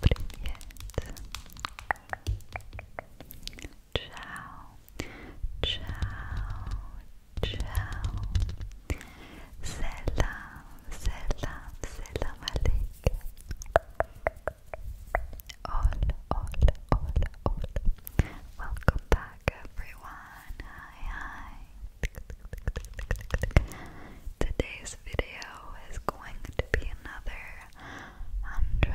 Привет, привет. Ciao, ciao, ciao. Selam, selam, selam aleykum. All, all, all, all. Welcome back, everyone. Hi, hi. Today's video is going to be another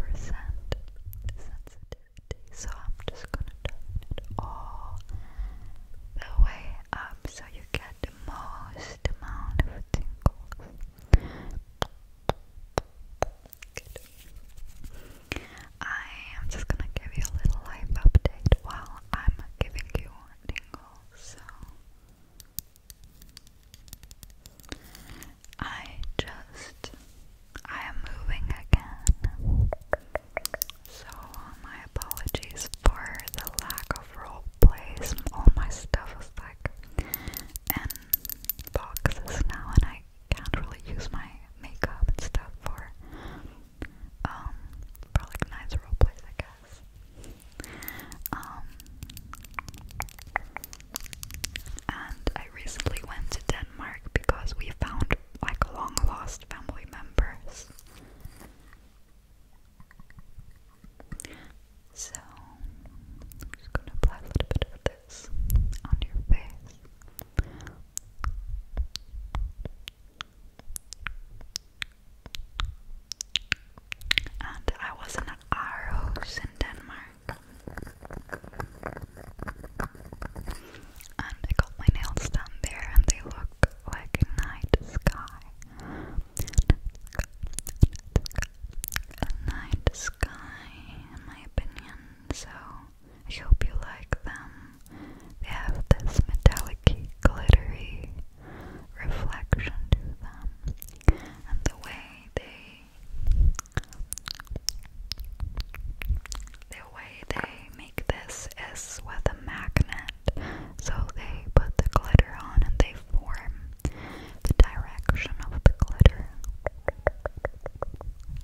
100% sensitivity, so I'm just gonna turn it all the way up so you get the most amount of tingles. Good. I am just gonna give you a little life update while I'm giving you tingle, so I just I am moving again. So my apologies for the lack of role plays. All my stuff is like in boxes now, and I can't really use my makeup and stuff for um, for like I guess. Um, and I recently went to Denmark because we found like long lost family members. So, I'm just gonna apply a little bit of this on your face. And I was in Aarhus in Denmark. And I got my nails done there, and they look like a night sky. A night sky, in my opinion. So I hope you like them. They have this metallic, glittery reflection to them, and the way they the way they make this is with a magnet. So they put the glitter on and they form the direction of the glitter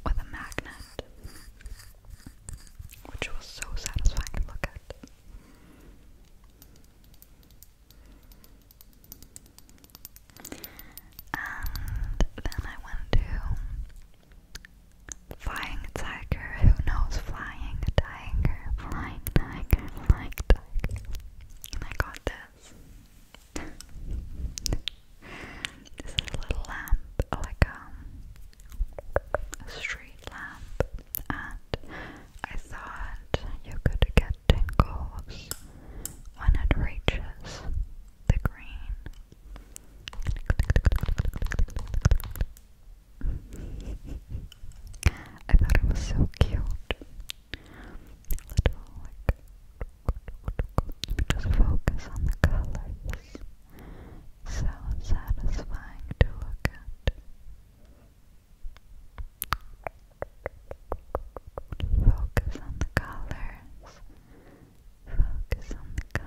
with a magnet which was so satisfying to look at. And then I went to Flying Tiger. Who knows Flying Tiger? Flying Tiger, Flying Tiger. And I got this. this is a little lamp, like um, street lamp and I thought you could get tingles when it reaches the green. I thought it was so cute. Little like just focus on the colors so satisfying to look at. Focus on the colors. Focus on the colors. Focus on the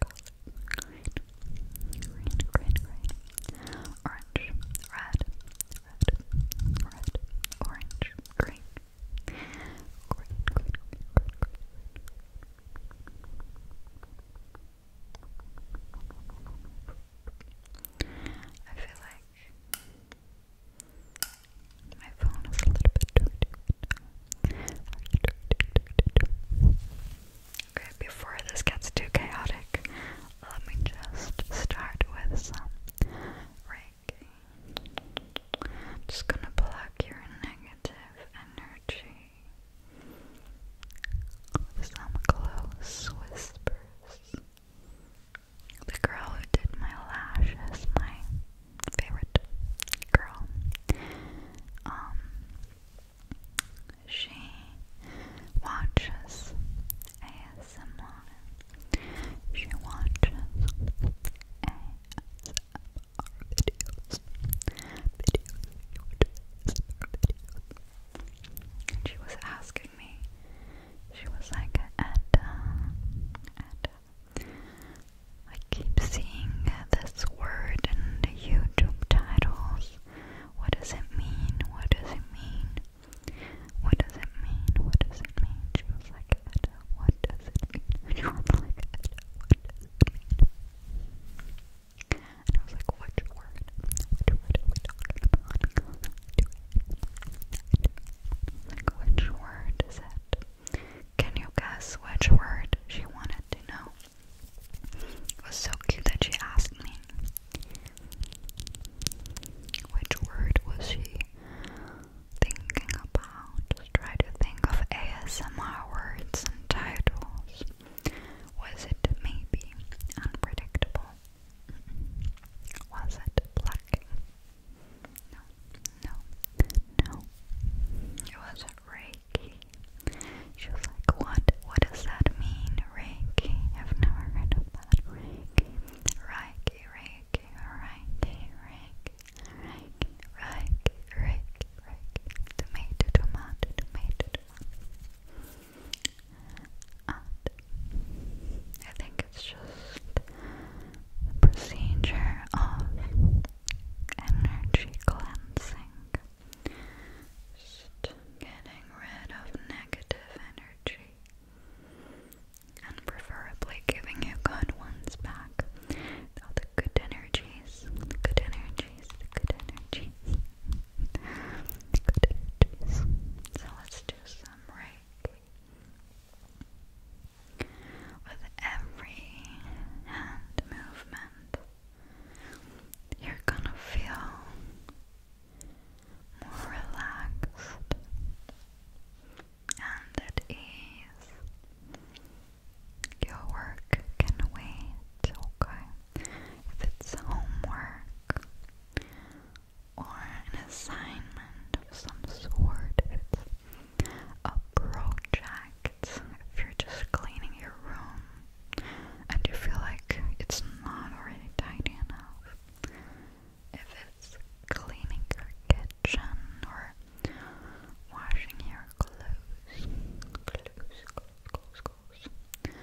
colors. Green, green, green, Orange, red, red, red, orange, green, Great, great, I feel like my phone is a little bit dirty. Okay, before this gets too chaotic, let me just start with some rain just gonna block your negative energy with some close whispers. The girl who did my lashes, my favorite girl, um, she watches ASMR. She watches ASMR videos. Videos. And she was asking me, she was like, and, uh, and, uh, I keep seeing this word in the YouTube titles. What does it mean? What does it mean? What does it mean? What does it mean? She was like, what does it mean? She was like, what does it mean? And I was like, which word? Which word are we Do it. Like, which word is it? Can you guess which word she wanted to know? It was so cute that she asked me. Which word was she thinking about? try to think of ASMR words and titles. Was it maybe unpredictable? Was it plucking? No, no, no. It was Reiki. She was like, what? What does that mean? Reiki? I've never heard of that. Reiki. Reiki, Reiki tomato, tomato, tomato, tomato. And I think it's just the procedure of energy cleansing. Just getting rid of negative energy and preferably giving you good ones back. All good energies, good energies, good energies, good energies. So let's do some Reiki. With every hand movement, you're gonna feel more relaxed and at ease. Your work can wait, okay? If it's homework or an assignment of some sort, it's a project, if you're just cleaning your room and you feel like it's not already tidy enough, if it's cleaning your kitchen or washing your clothes, clothes, clothes, clothes,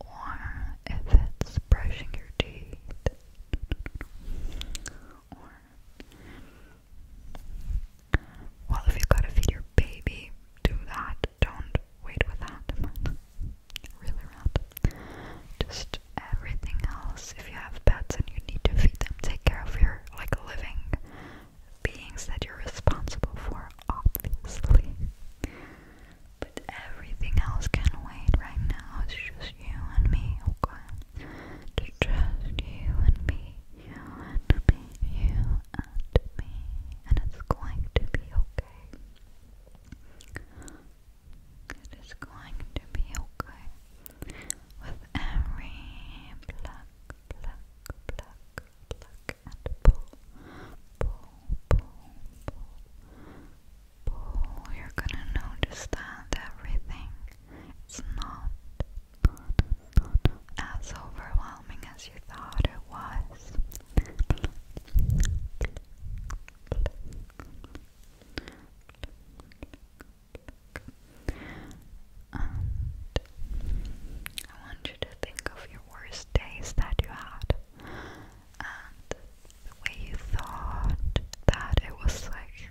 or if it's brushing your teeth, or well, if you gotta feed your baby, do that. Don't wait with that really random. Just everything else. If you have pets and you need to feed them, take care of your like living beings that you're responsible for, obviously. But everything else can wait right now. It's just you and me, okay? Just, just you and me, you and me, you and me. And it's going to be okay. It is going to be okay with every pluck, pluck, pull, pull, pull, pull, pull. You're gonna notice that everything is not, as overwhelming as you thought it was. And I want you to think of your worst days that you had and the way you thought that it was like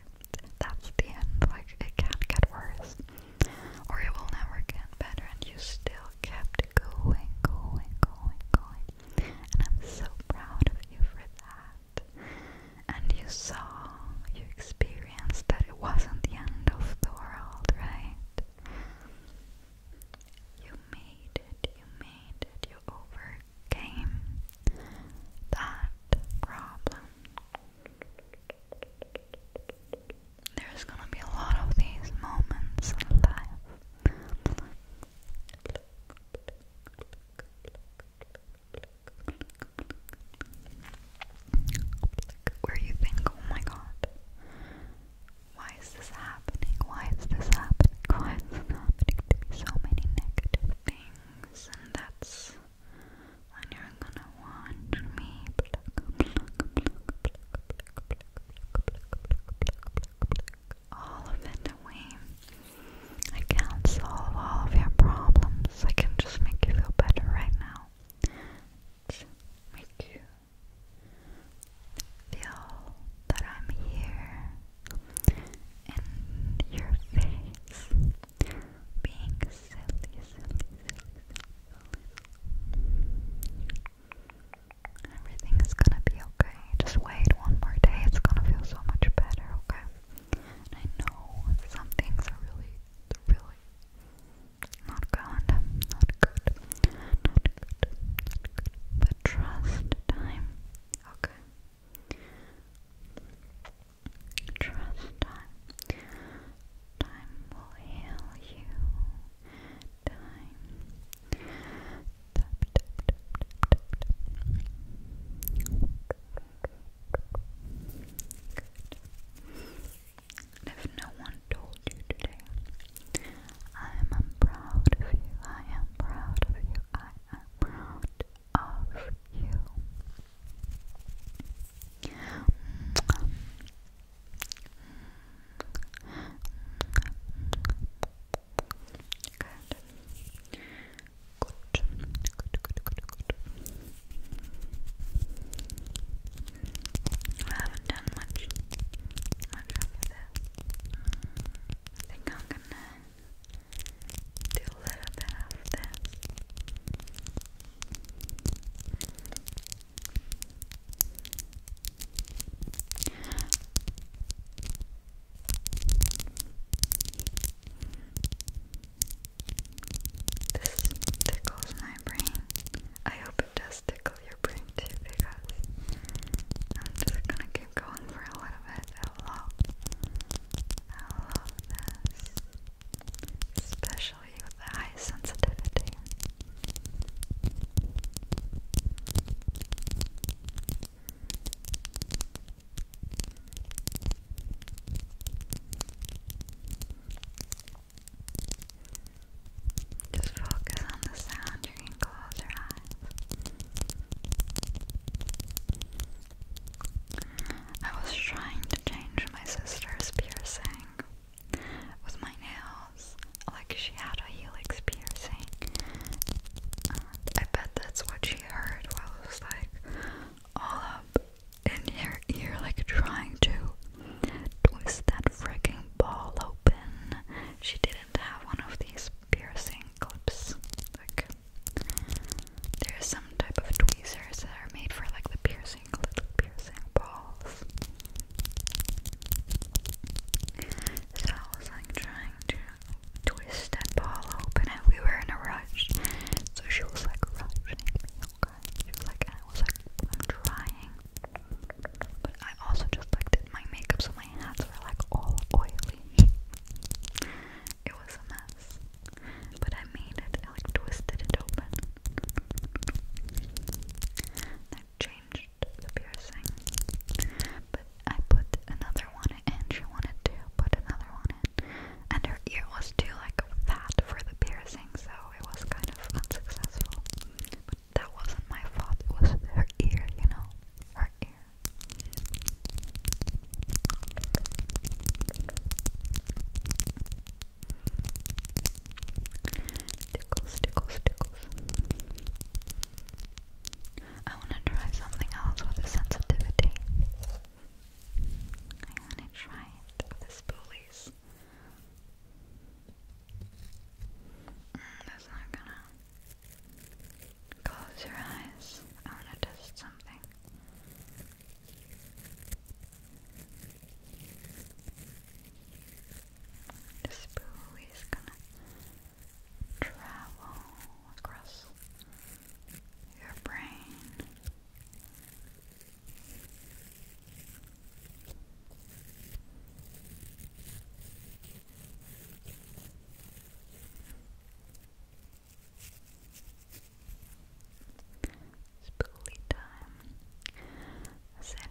that's the end, like it can't get worse or it will never get better and you still kept going, going, going, going, and I'm so proud of you for that. And you saw, you experienced that it wasn't the end of the world, right? You made it, you made it, you overcame that problem. There's gonna be a lot of these moments in life. Where you think, oh my god, why is this happening? Why is this happening? Why is this happening So many negative things, and that's when you're gonna want me all of it away. I can't solve all of your problems. I can just make you feel better right now. make you feel that I'm here in your face, being silly. Everything is gonna be okay. Just wait one more day. It's gonna feel so much better, okay? I know some things are really, really Not good. Not good. Not good. But trust time, okay? Trust time. Time will heal you. Time tap, If no one told you today, I am proud of you. I am proud of you. I am proud of you. Good. Good. I haven't done much. Much of that. I think I'm gonna do a little bit of this tickles my brain. I hope it does tickle your brain too because I'm just gonna keep going for a little bit. I love, I love this. Especially with the high sensitivity. Just focus on the sound. You can close your eyes. I was trying to change my sister's piercing with my nail like she had a helix piercing. I bet that's what she heard while it was like all up in her ear, like trying to twist that freaking ball open. She didn't have one of these piercing clips. Like, there's some type of tweezers that are made for like the piercing little piercing balls. So I was like trying to twist that ball open and we were in a rush. So she was like rushing me, okay? She was like, I was like, I'm trying. But I also just like did my makeup so my hands were like all oily. it was a mess. But I made it, I like twisted it open changed the piercing. But I put another one in. She wanted to put another one in. And her ear was too like fat for the piercing, so it was kind of unsuccessful. that wasn't my fault. It was her ear, you know. Her ear. Tickles, tickles, tickles. I want to try something else with a sensitivity. I want to try it with the spoolies. Mm, that's not gonna. Close your eyes. I want to test something. The spoon is gonna travel across your brain. Spoolie time.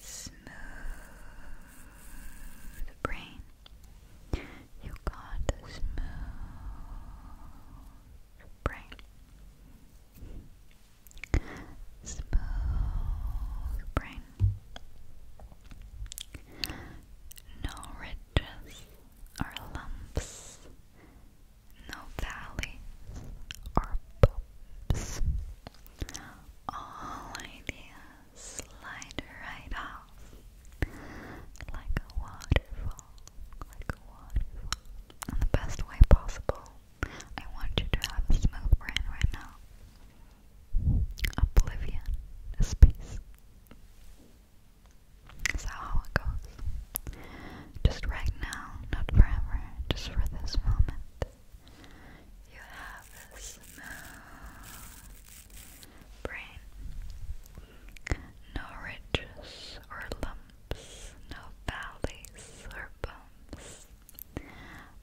Smooth brain. You got a smooth brain. Smooth brain. No ridges or lumps. No valleys or bumps. All ideas slide right off like a waterfall, like a waterfall. In the best way possible, I want you to have a smooth brain right now. Oblivion is peace. how it goes. Just right now, not forever, just for this moment. You have a smooth brain. No ridges or lumps, no valleys or bumps.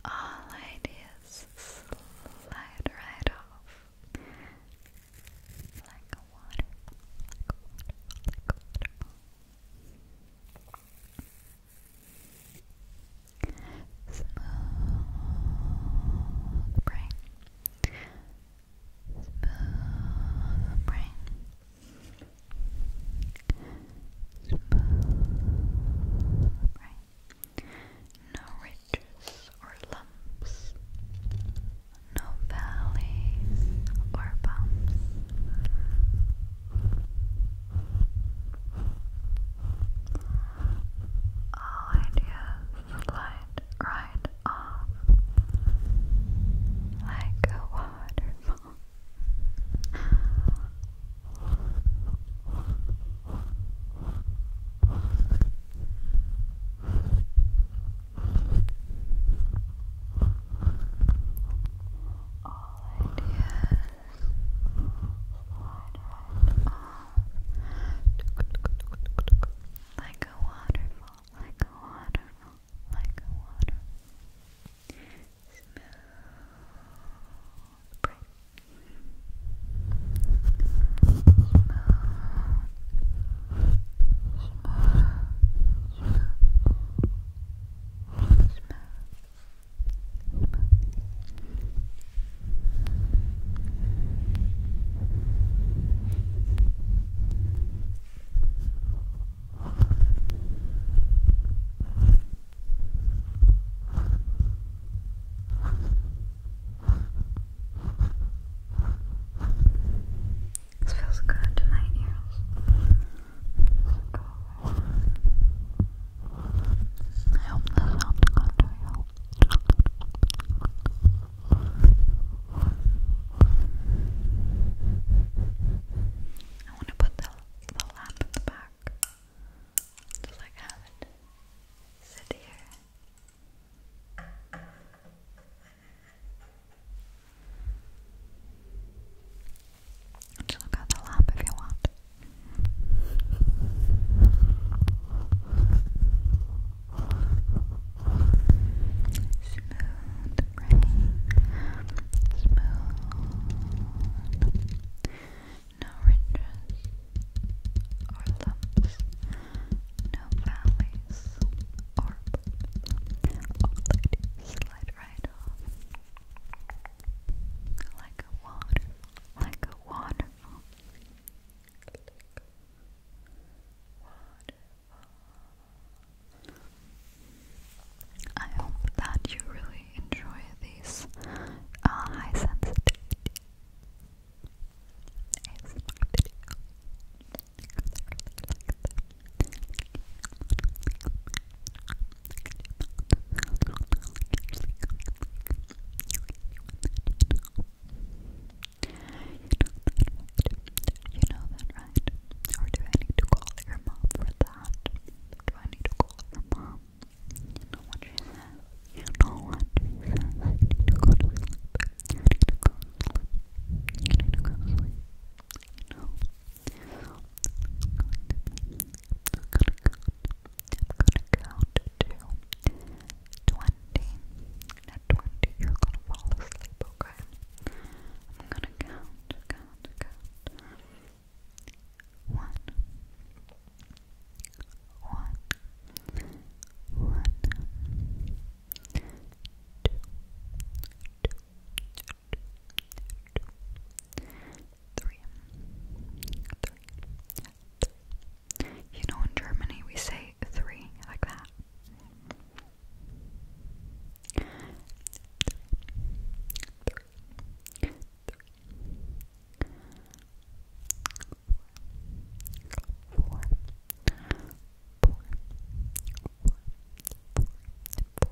All ideas slide right off. Like water. Smooth brain. Smooth brain. Smooth brain. No ridges or lumps. No valleys or bumps. All ideas slide right off like a waterfall. Like a waterfall, like a waterfall, like a waterfall. Smooth, smooth, smooth, smooth, smooth, this feels good to my I you. want to put the, the lamp in the back just like have it sit here. Just look at the lamp if you want. Smooth Smooth. No ridges or lumps. No valleys or bumps. All ladies slide right off. Like a water, like a waterfall. I hope that you really enjoy these uh, high sensitivity videos. You know that, right? Or do I need to call your mom for that? Do I need to call your mom? You know what she says. You know what she says. I need to go to sleep. You need to go to sleep. You need to go to sleep. You know count to 20. At 20, you're gonna fall asleep, okay? I'm gonna count, count, count. One. One. One. Two. Two. Three. You know, in Germany we say three like that. Four. Four. Four. Four. Four.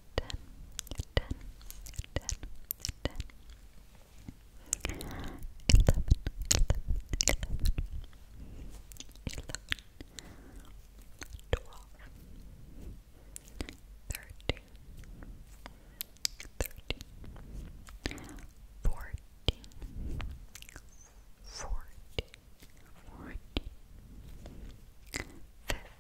ten, ten, ten, ten, eleven, eleven, eleven, eleven, twelve, thirteen, thirteen, fourteen, fourteen, fourteen, fifteen.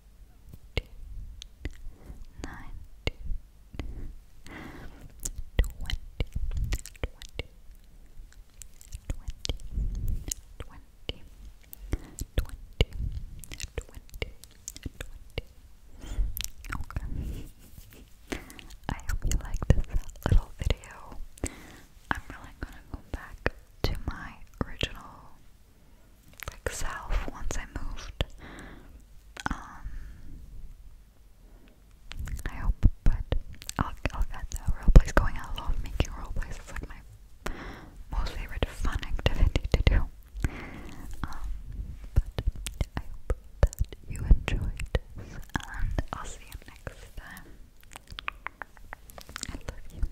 Okay. I hope you like this little video. I'm really gonna go back to my original like south once I moved. Um, I hope, but I'll I'll get the roleplays going. I love making roleplays. It's like my most favorite fun activity to do. Um, but I hope that you enjoyed and I'll see you next time. I love you.